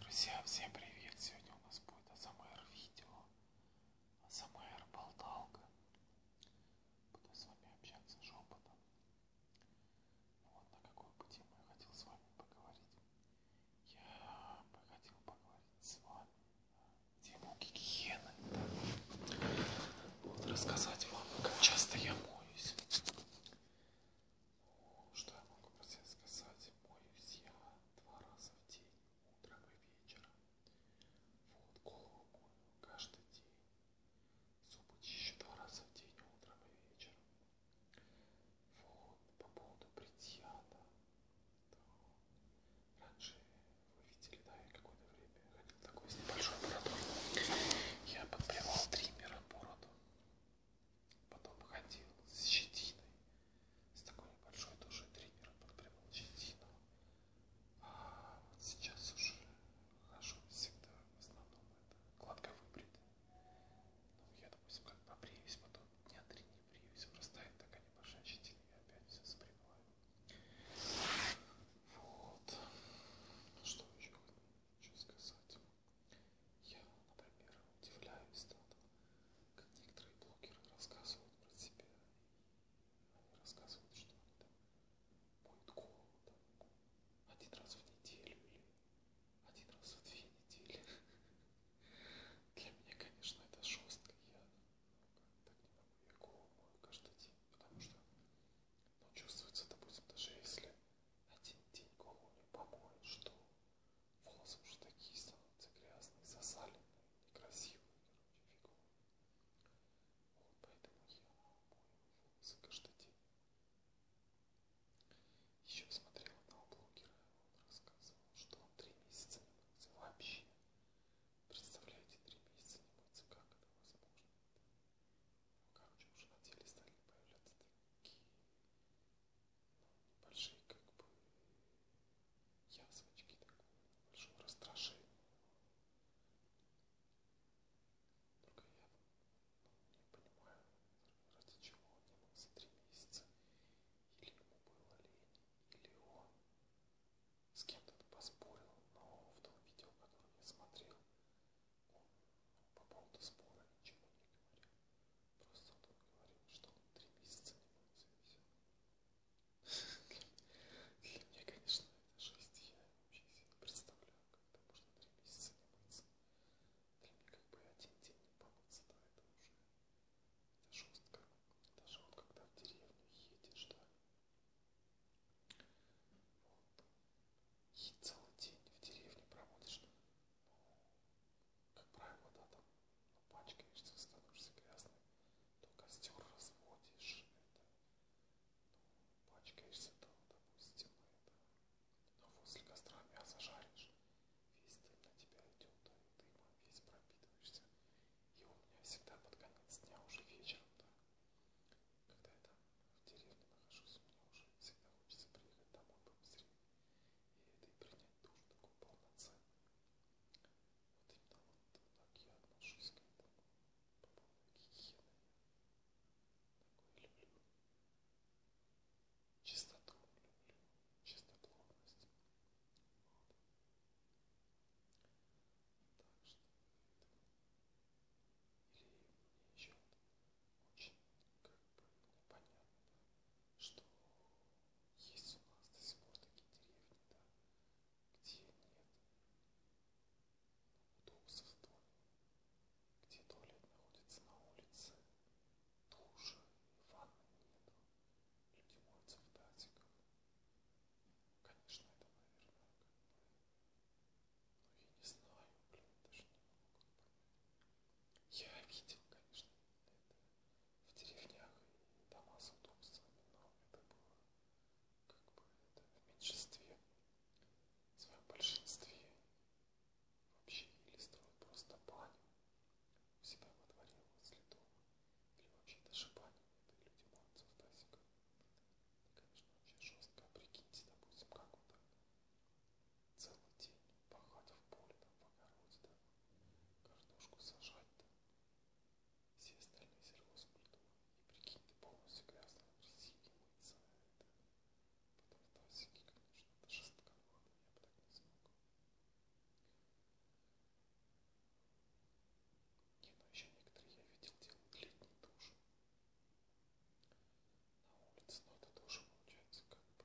Друзья, всем привет! Сегодня у нас будет АСМР видео, АСМР болталка. Буду с вами общаться шепотом. Вот на какую бы тему я хотел с вами поговорить. Я бы хотел поговорить с вами на тему гигиены. Вот рассказать вам, как часто я моюсь. Что я могу про себя сказать? Моюсь я два раза в день, утром и вечером. Вот, голову мою каждый день. Зубы чищу два раза в день, утром и вечером. Вот, по поводу бритья, да. да. Раньше вы видели, да, я какое-то время ходил такой с небольшой бородой. Я подбривал триммером бороду. Потом ходил с щетиной, с такой небольшой душой триммером подпрямил щетину. А вот сейчас уже хожу всегда, в основном это гладко выбрит. Ну, я, допустим, как побреюсь, потом дня три не бреюсь, вырастает такая небольшая щетина, я опять все сбриваю. Вот. Ну, что еще хочу сказать? Я, например, удивляюсь тому, как некоторые блогеры рассказывают про себя. Они рассказывают, что они там моют голову там, один раз в неделю или один раз в две недели. Для меня, конечно, это жестко. Я ну, так не могу, я голову мою каждый день, потому что но чувствуется, допустим, даже если один день колонию помоют, что волосы уже такие становятся грязные, засаленные, некрасивые, короче, фиговые. Вот поэтому я мою волосы каждый день. Еще смотрел одного блогера, он рассказывал, что он три месяца не мылся вообще. Представляете, три месяца не мыться, как это возможно? короче, уже на теле стали появляться такие ну, небольшие как бы язвочки такого большого раздражения. Только я ну, не понимаю, ради чего он не мог за три месяца. Или ему было лень, или он с кем-то поспорил, но в том видео, которое я смотрел, он по поводу спора ничего не говорил. Просто он говорил, что он три месяца не мылся и все. Для меня, конечно, это жесть. Я вообще себе не представляю, когда можно три месяца не мыться. Для меня как бы один день не помыться, да, это уже это жестко. Даже вот когда в деревню едешь, да, и целый день в деревне проводишь, ну, как правило, да, там, ну, пачкаешься, становишься грязным, то костер разводишь, это, ну, пачкаешься, то, допустим, это, но ну, возле костра мясо жаришь, весь дым на тебя идет, да, и дымом весь пропитываешься. И у меня всегда под конец дня, уже вечером, да, когда я там в деревне нахожусь, мне уже всегда хочется приехать домой побыстрее. И это и принять душ такой полноценный. Вот именно вот так я отношусь к этому. По поводу гигиены. Такое люблю. Чистоту люблю. Чистоплотность. Вот так что или мне еще очень как бы непонятно, что есть у нас до сих пор такие деревни, да, где нет удобства в доме, где туалет находится на улице, душа и ванны нету, люди моются в датиках, Конечно, это, наверное, как бы... Ну, я не знаю, блин, даже не могу как бы... Я видел, конечно, это в деревнях и дома с удобствами, но это было как бы это в меньшинстве, в своем большинстве вообще или строят просто баню у себя во дворе возле дома, или вообще даже баню, это люди могут в тазиках Конечно, вообще жестко. Прикиньте, допустим, как он так целый день пахать в поле, там, в огороде, да, картошку сажать, да, все остальные сельхозкультуры. И прикинь, ты полностью грязный, красивый, мыться, а это, потом в тазике, конечно, это жестко, ладно, я бы так не смог. Не, но ну, еще некоторые я видел делают летние души на улице, но ну, это тоже получается как бы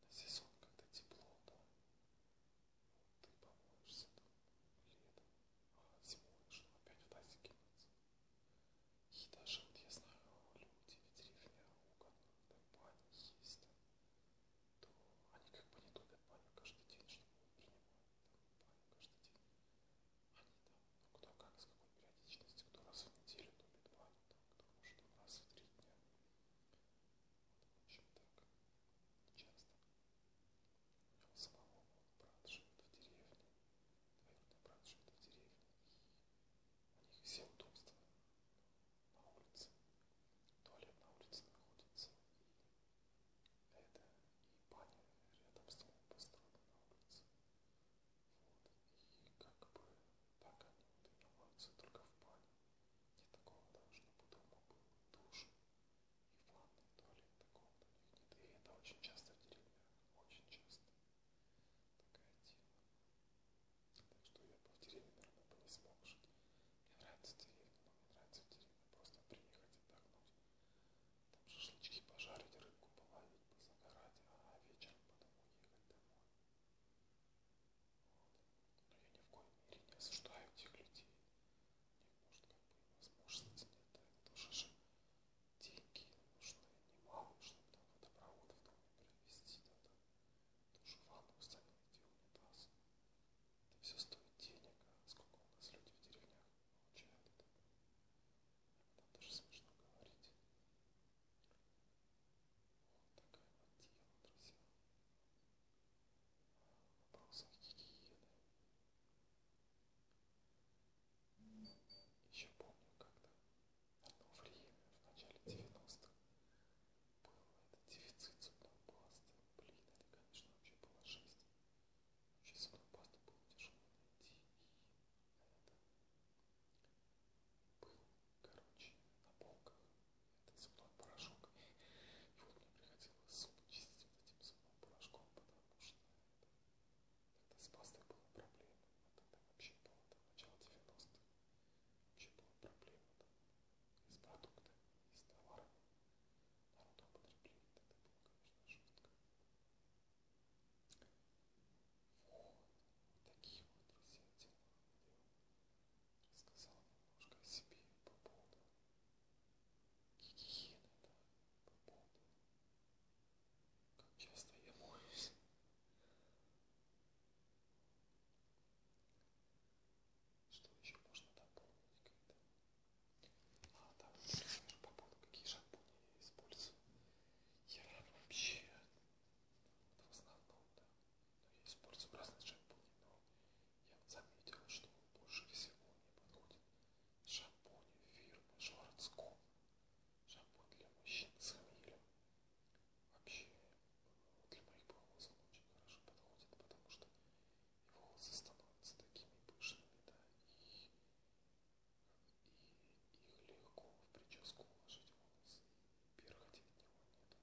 на сезон, когда тепло, да, ты помоешься там летом, а зимой же опять в тазик кинуться. И даже вот я знаю, люди в деревне у которых там бани есть, там, то они как бы не топят баню каждый день, чтобы принимать каждый день. Они там, ну кто как, с какой периодичностью, кто раз в неделю топит баню, там, кто может там раз в три дня. Вот, в общем, так, часто. У него самого вот, брат живет в деревне, двоюродный брат живет в деревне, и у них все удобства на улице. Туалет на улице находится, и это и баня рядом с домом построена на улице. Вот. И как бы так они вот умываются только в бане. Нет такого даже, чтобы дома был душ и в ванной, и туалет такого у них нет. И это очень часто в деревнях, очень часто такая тема. Так что я бы в деревне, наверное, бы не смог жить. Мне нравится деревня, но мне нравится в деревне просто приехать отдохнуть. Там шашлычки пожарить, рыбку половить, позагорать, а вечером потом уехать домой. Вот. Но я ни в коем мере не осуждаю тех людей. У них, может, как бы возможности нет, да, это тоже же деньги нужны а немало, чтобы там водопровод в доме провести, да, там, тоже ванну установить и унитаз. Это все стоит денег, а сколько у нас люди в деревнях получают это. Там даже смешно говорить. Вот такая вот тема, друзья. Вопросы гигиены. Еще помню, когда одно время, в начале 90-х, был этот дефицит зубной пасты. Блин, это, конечно, вообще было жесть. Вообще зубную пасту было тяжело найти. И это был, короче, на полках этот зубной порошок. И вот мне приходилось зубы чистить вот этим зубным порошком, потому что это... тогда с пастой была проблема. А тогда вообще было, там, начало 90-х. Вообще была проблема, там, из продукта, из товара народного потребления. Это было, конечно, жестко. Вот, вот такие вот, друзья, дела. Я рассказал немножко о себе по поводу гигиены, да, по поводу, как часто я моюсь. Что еще можно дополнить к этому? А, да, вот, например, по поводу, какие шампуни я использую. Я вообще, вот в основном, да, но ну, я использую разные шампуни, но я вот заметил, что больше всего мне подходит шампунь фирмы Шварцко. Шампунь для мужчин с хмелем. Вообще, ну, для моих волос он очень хорошо подходит, потому что и волосы становятся такими пышными, да, и, и их легко в прическу уложить волосы, и перхоти от него нету.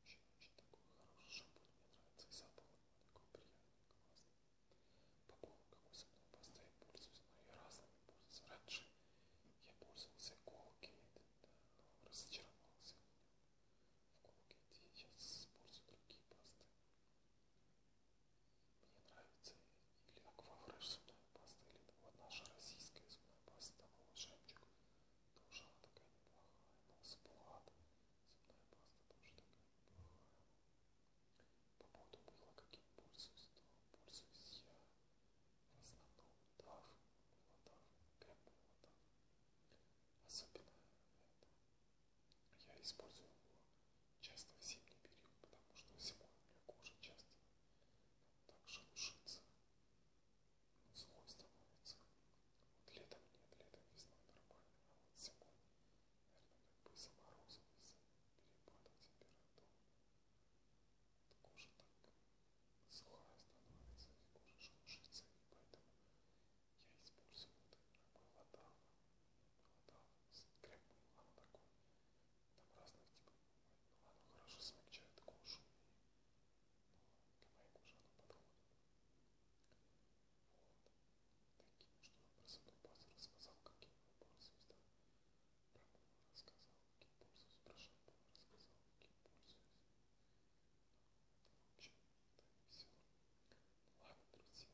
Очень-очень такой хороший шампунь, мне нравится, и запах у него такой приятный, классный. По поводу какой зубной пасты я пользуюсь, но я разными пользуюсь. Раньше я пользовался Colgate, да, но разочаровался в нем в круге, где я использую другие пасты. Мне нравится или аквафреш зубная паста, или вот наша российская зубная паста, там волшебчик. Тоже она такая неплохая, но сплат зубная паста тоже такая неплохая. По поводу мыла, каким пользуюсь, то пользуюсь я в основном плодах, плодах, крем-плодах. Особенно это. Я использую его часто в зимний период, потому что зимой у меня кожа часто так шелушится, сухой становится. Вот летом нет, летом весной нормально, а вот зимой, наверное, как бы из-за морозов, из-за перепада температуры, вот кожа так сухая становится и кожа шелушится, и поэтому я использую вот мылодан, мылодан с крем мылан такой, там разных типов мылан, оно хорошо смягчает кожу, но для моей кожи оно подходит. Вот, таким, что образом базу рассказал, как я его пользуюсь, да, про мыло рассказал, какие пользуюсь, про шампунь рассказал, какие пользуюсь. В общем, да и все. Ну, ладно, друзья.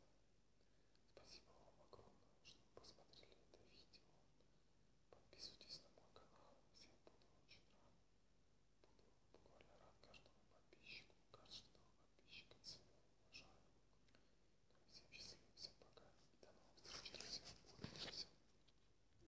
Спасибо вам огромное, что посмотрели это видео. Подписывайтесь на мой канал. Всем буду очень рад. Буду буквально рад каждому подписчику, каждому подписчика цену уважаю. Ну и всем счастливо, всем пока. И до новых встреч, друзья. Улыбнемся.